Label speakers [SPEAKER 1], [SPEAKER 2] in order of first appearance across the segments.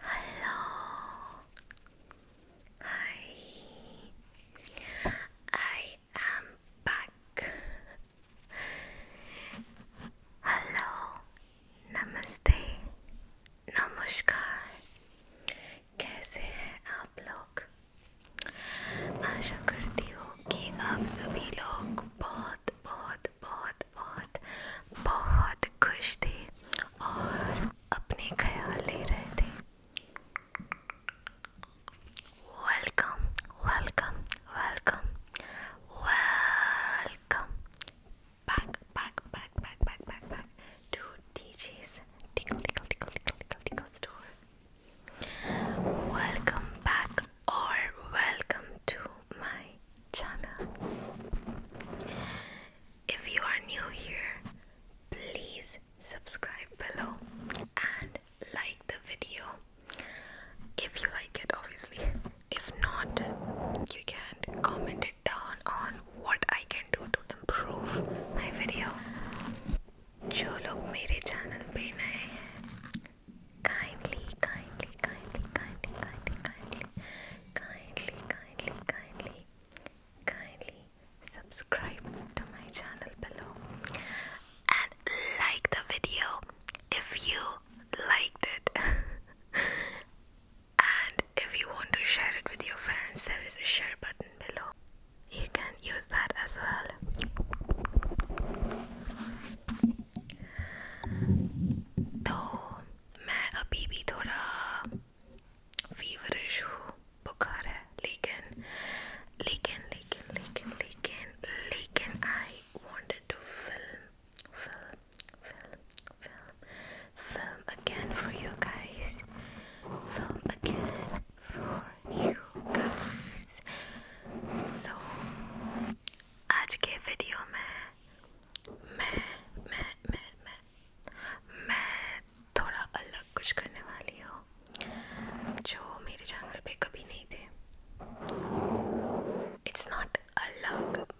[SPEAKER 1] Hello. Hi. I am back. Hello. Namaste. Namaskar. कैसे हैं आप लोग आशा करती हूँ कि आप सभी लोग बहुत बहुत बहुत बहुत बहुत खुश थे और अपने ख्याल ले रहे थे welcome welcome welcome welcome back, back, back, back, back, back, back to DJ's Tickle Tickle Tickle Tickle Tickle Tickle Store. Welcome back or welcome to my channel. If you are new here, please subscribe below and like the video if you like it obviously if not you can comment it down on what i can do to improve my video जो लोग मेरे channel पे नए हैं kindly kindly kindly kindly kindly kindly kindly kindly kindly subscribe to my channel below and like the video if you liked it and if you want to share it with your friends there is a share button below you can use that as well तो मैं अभी भी थोड़ा feverish हूँ बुखार है लेकिन लेकिन लेकिन लेकिन लेकिन लेकिन I wanted to film film film film film again for you guys. Film again for you guys. So आज के वीडियो में मैं मैं मैं मैं मैं थोड़ा अलग कुछ करने वाली हूँ जो मेरे चैनल पे कभी नहीं थे इट्स नॉट अलग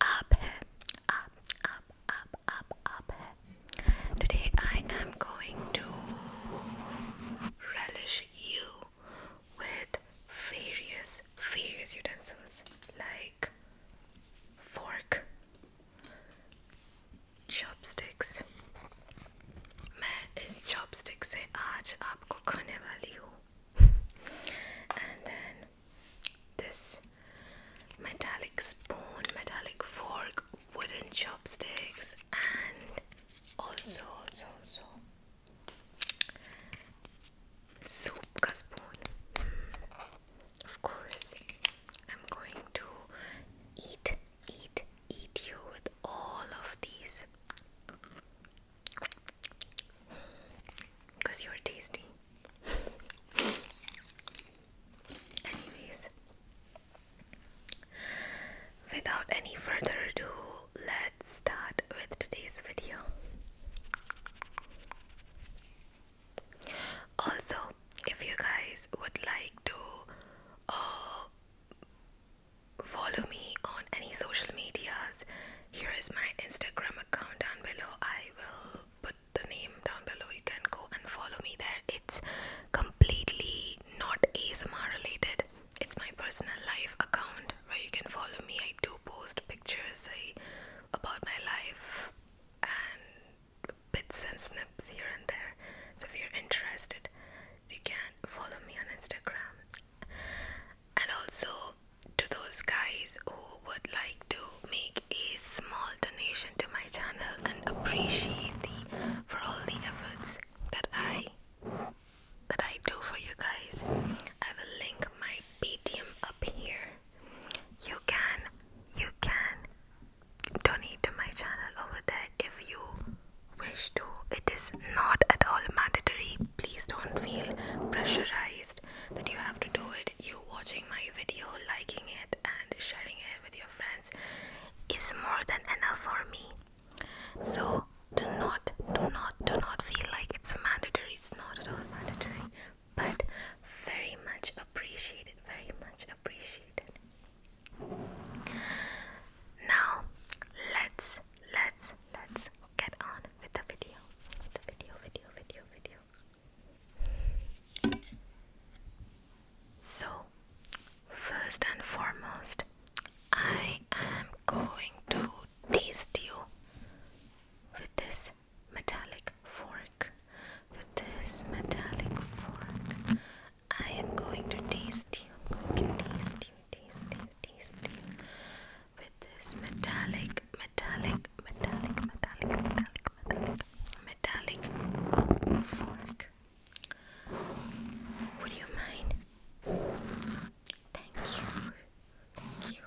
[SPEAKER 1] up up up up up up today I am going to relish you with various various utensils like fork chopsticks मैं इस chopstick से आज आपको खाने वाली हूँ this metallic spoon, metallic fork, wooden chopsticks, and also, also, also soup ka spoon. Of course, I'm going to eat, eat, eat you with all of these because you're tasty. Anyways, without any further ado, let's start with today's video. Also, if you guys would like to uh, follow me on any social medias here is my Instagram account down below. I will put the name down below. You can go and follow me there. It's completely not ASMR related. It's my personal life account where you can follow me. I do post pictures about my life and bits and snips here and there. So if you're interested, you can follow me on Instagram and also to those guys who would like to make a small donation to my channel and appreciate the for all the efforts that I that I do for you guys. I will link my Patreon up here. You can you can donate to my channel over there if you wish to. It is not at all mandatory. Please don't feel pressurized just that you have to do it. You watching my video, liking it, and sharing it with your friends is more than enough for me. So, do not, do not, do not feel like it's mandatory, it's not at all mandatory, but very much appreciated, very much appreciated. Now, let's let's let's get on with the video. the video, video, video, video. So, first and foremost, I am going to taste you with this metallic fork. With this metallic fork, I am going to taste you. I'm going to taste you, taste you, taste you with this metallic, metallic, metallic, metallic, metallic, metallic, metallic fork. Would you mind? Thank you. Thank you.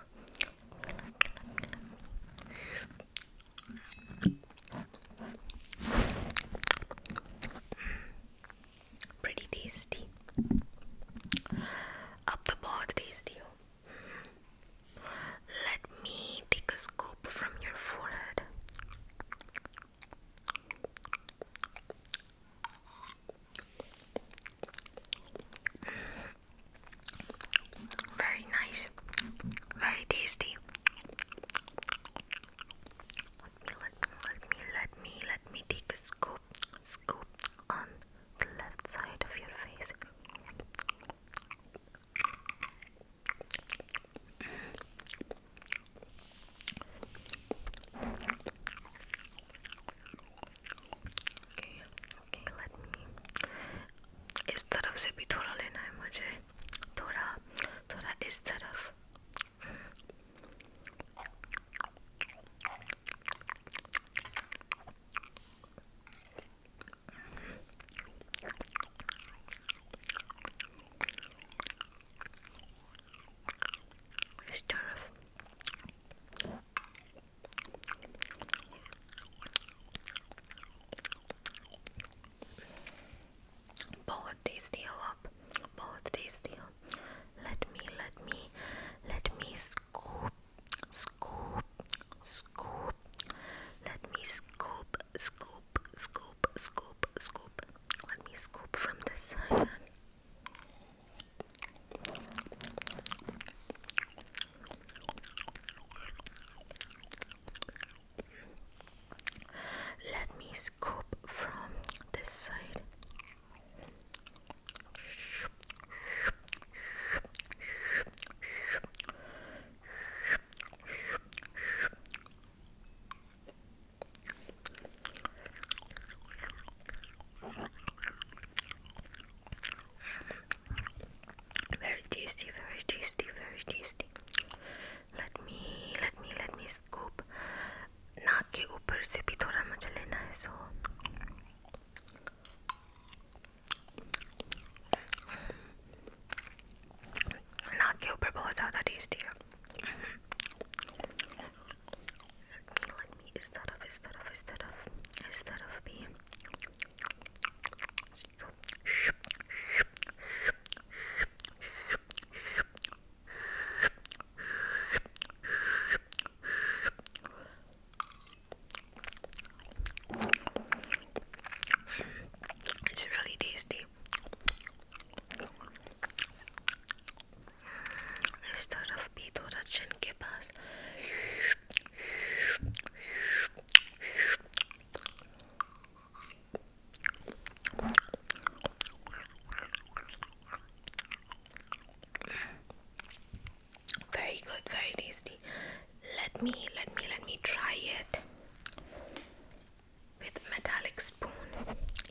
[SPEAKER 1] Pretty tasty. Up the board tasty. Let me take a scoop from your forehead. Very nice, very tasty. Let me, let me, let me, let me, take a scoop, scoop on the left side of your face. Okay, okay, let me. इस तरफ से भी थोड़ा लेना है मुझे थोड़ा थोड़ा इस तरफ it's Both tasty up, both tasty Let me, let me, let me scoop, scoop, scoop. Let me scoop, scoop, scoop, scoop, scoop. Let me scoop from the side. Let me scoop from this side. Shoo. Very tasty, very tasty, very tasty. Let me, let me, let me scoop. नाक के ऊपर से भी थोड़ा मुझे लेना so, नाक के ऊपर बहुत ज़्यादा टेस्टी है इस तरफ इस तरफ इस तरफ इस तरफ भी it's really tasty. इस तरफ भी थोड़ा चिन के पास very good very tasty let me let me let me try it with metallic spoon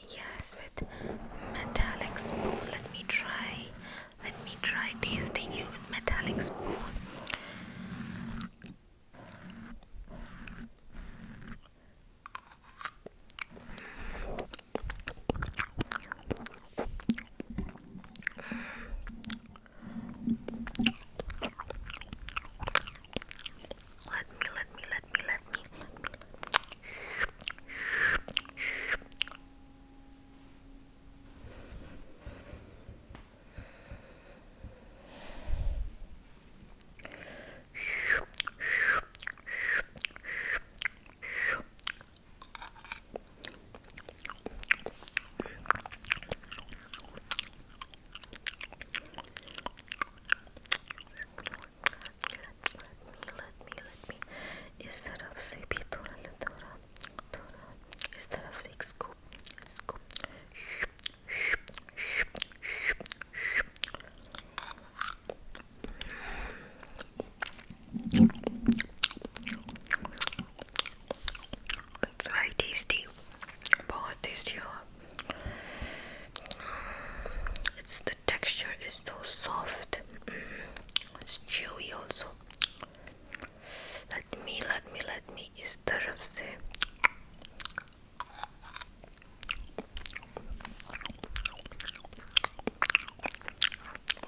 [SPEAKER 1] yes with metallic spoon let me try let me try tasting you with metallic spoon let me, let me, let me, let me let me let me इस तरफ से भी थोड़ा ले थोड़ा थोड़ा इस तरफ से एक scoop scoop it's very tasty. बहुत tasty It's the texture is so soft. Mm-hmm. It's chewy also. Let me, let me, let me. इस तरफ से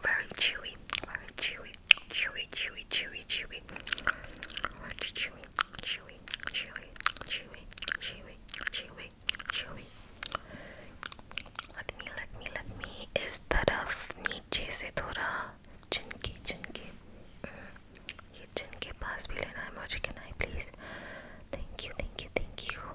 [SPEAKER 1] very chewy, very chewy, chewy, chewy, chewy, chewy, chewy, chewy, chewy, chewy, chewy, chewy, chewy. Let me, let me, let me. Is तरफ नीचे से थोड़ा चिनके चिनके ये चिन के पास भी लेना है मुझे can I please thank you thank you thank you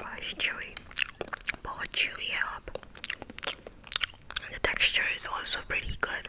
[SPEAKER 1] Rice chewy, more chewy up. the texture is also pretty good.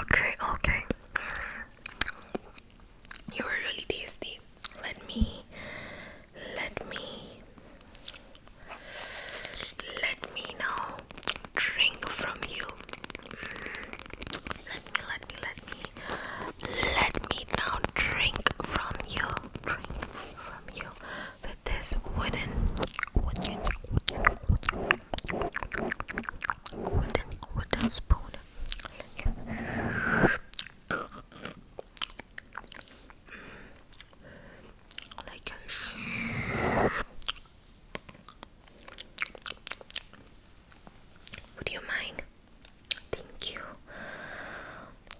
[SPEAKER 1] Okay, okay. You were really tasty. Let me, let me, let me now drink from you. Mm-hmm. Let me, let me, let me, let me now drink from you. Drink from you this wooden wooden wooden wooden spoon. Would you mind? Thank you.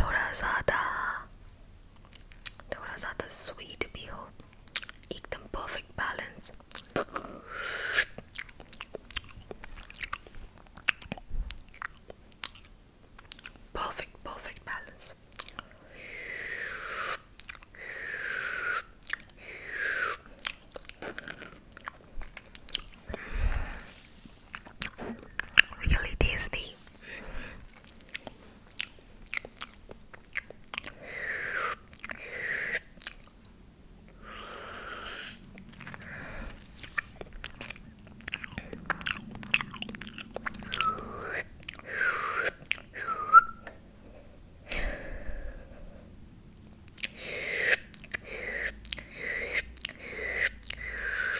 [SPEAKER 1] थोड़ा ज़्यादा थोड़ा ज़्यादा sweet भी हो एकदम perfect balance perfect perfect balance really tasty.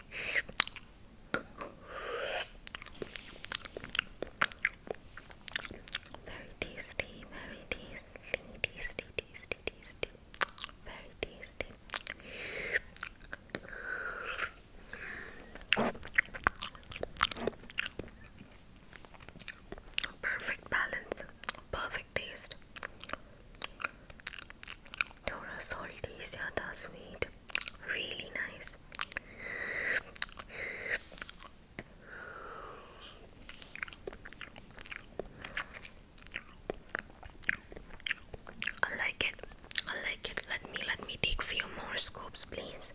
[SPEAKER 1] Very tasty, very tasty, tasty, tasty, tasty, very tasty. Perfect balance, perfect like taste. Thora salty, zyada sweet. Really nice. I like it. I like it. Let me let me take few more scoops, please.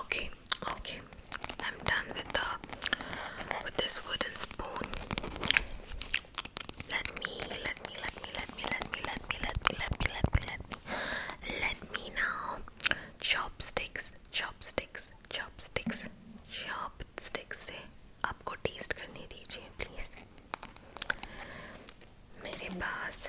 [SPEAKER 1] Okay, okay. I'm done with the with this wooden spoon. Let me, let me, let me, let me, let me, let me, let me, let me, let me, let me, let me now. Chopsticks, chopsticks, chopsticks, chopsticks से आपको taste करने दीजिए, please. मेरे पास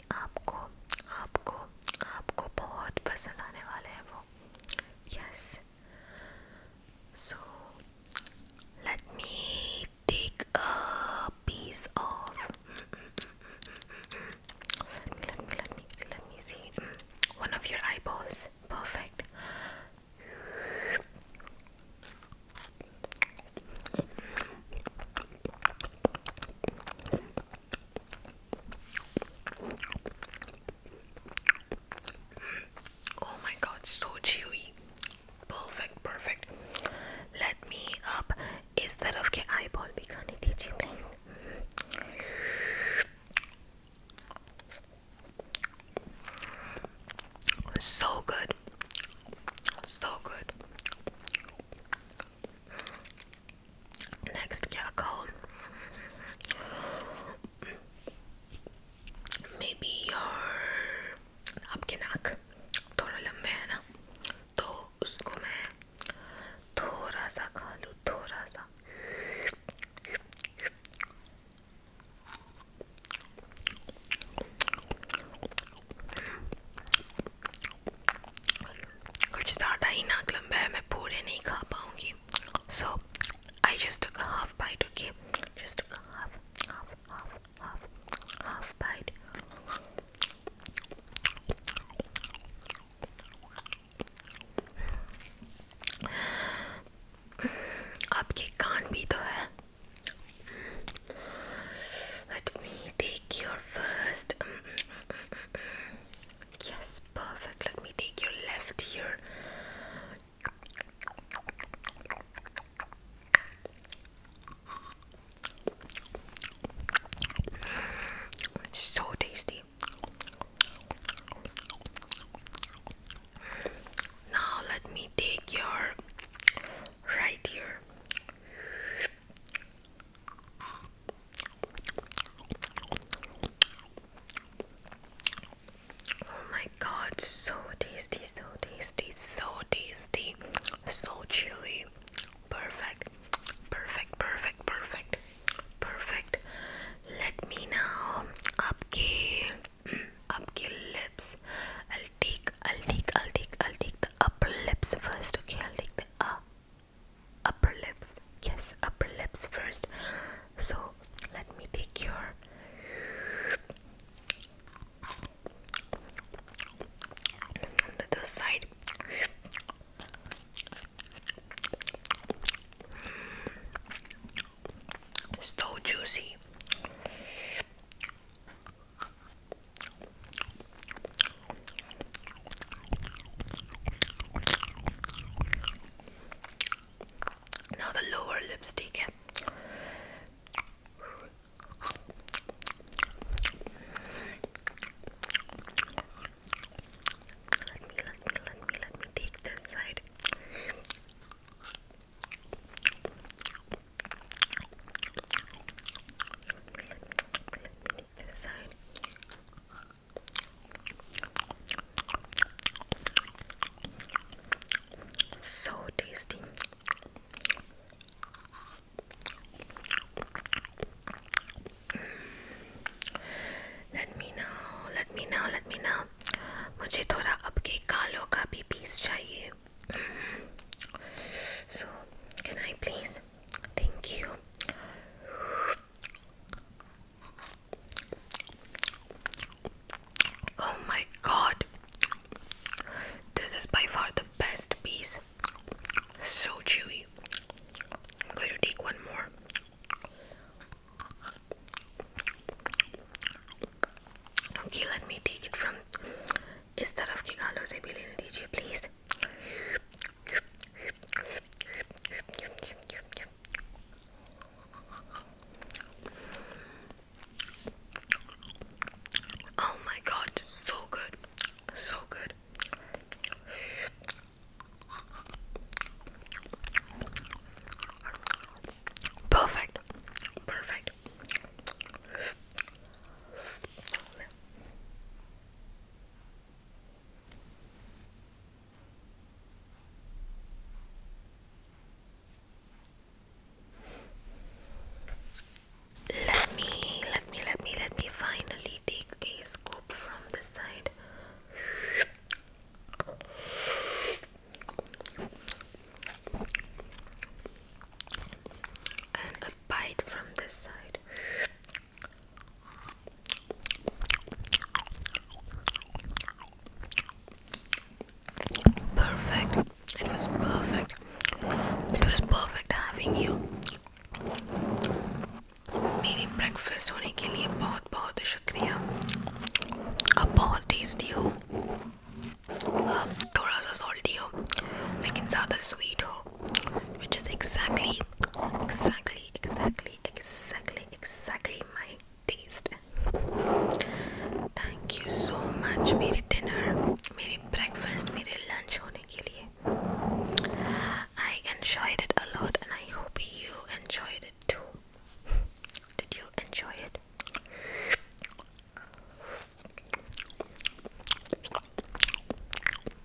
[SPEAKER 1] कि आपको आपको आपको बहुत पसंद आने वाले हैं वो yes so let me take a piece of let me let me see let me see one of your eyeballs perfect Oh my god, so chewy. Perfect, perfect. Let me up. इस तरफ के eyeball भी खाने दीजिए please. So good, so good. Next क्या कहो maybe your आपके नाक थोड़ा लंबे है ना तो उसको मैं थोड़ा सा खा लूँ थोड़ा सा कुछ ज़्यादा ही नाक लंबा है मैं पूरे नहीं खा पाऊँगी so I just took half bite okay just took half half half half half bite आपके कान भी तो है Let me take your first. Um, um, um, Yes, perfect. Let me take your left ear. So tasty. Now let me take your right ear. Oh my god, so tasty, so tasty, so tasty, so chewy. Perfect, perfect, perfect, perfect, perfect. Let me now up your mm, lips. I'll take, I'll take, I'll take, I'll take the upper lips first. Okay, I'll take the upper upper lips yes upper lips first so let me take your on the other side mm. so juicy now the lower lipstick. Let me, let me, let me, let me take that side. So tasty. Let me know, let me know, let me know. मुझे थोड़ा आपके कालों का भी piece चाहिए. Mm-hmm. So, can I please Thank you. Oh my god. This is by far the best piece. So chewy. I'm going to take one more. Okay, let me take it from. इस तरफ के गालों से भी please. Oh my god, so good. So good. Perfect. Perfect. Let me, let me, let me, let me finally take a scoop from this side. And a bite from this side. Perfect. It was perfect. It was perfect having you. मेरी breakfast होने के लिए बहुत बहुत शुक्रिया. आप बहुत tasty हो. आप थोड़ा सा salty हो, लेकिन ज़्यादा sweet हो which is exactly, exactly, exactly, exactly, exactly my taste. Thank you so much मेरे dinner, मेरे breakfast, मेरे lunch होने के लिए. I enjoyed it a lot and I hope you enjoyed it too. Did you enjoy it?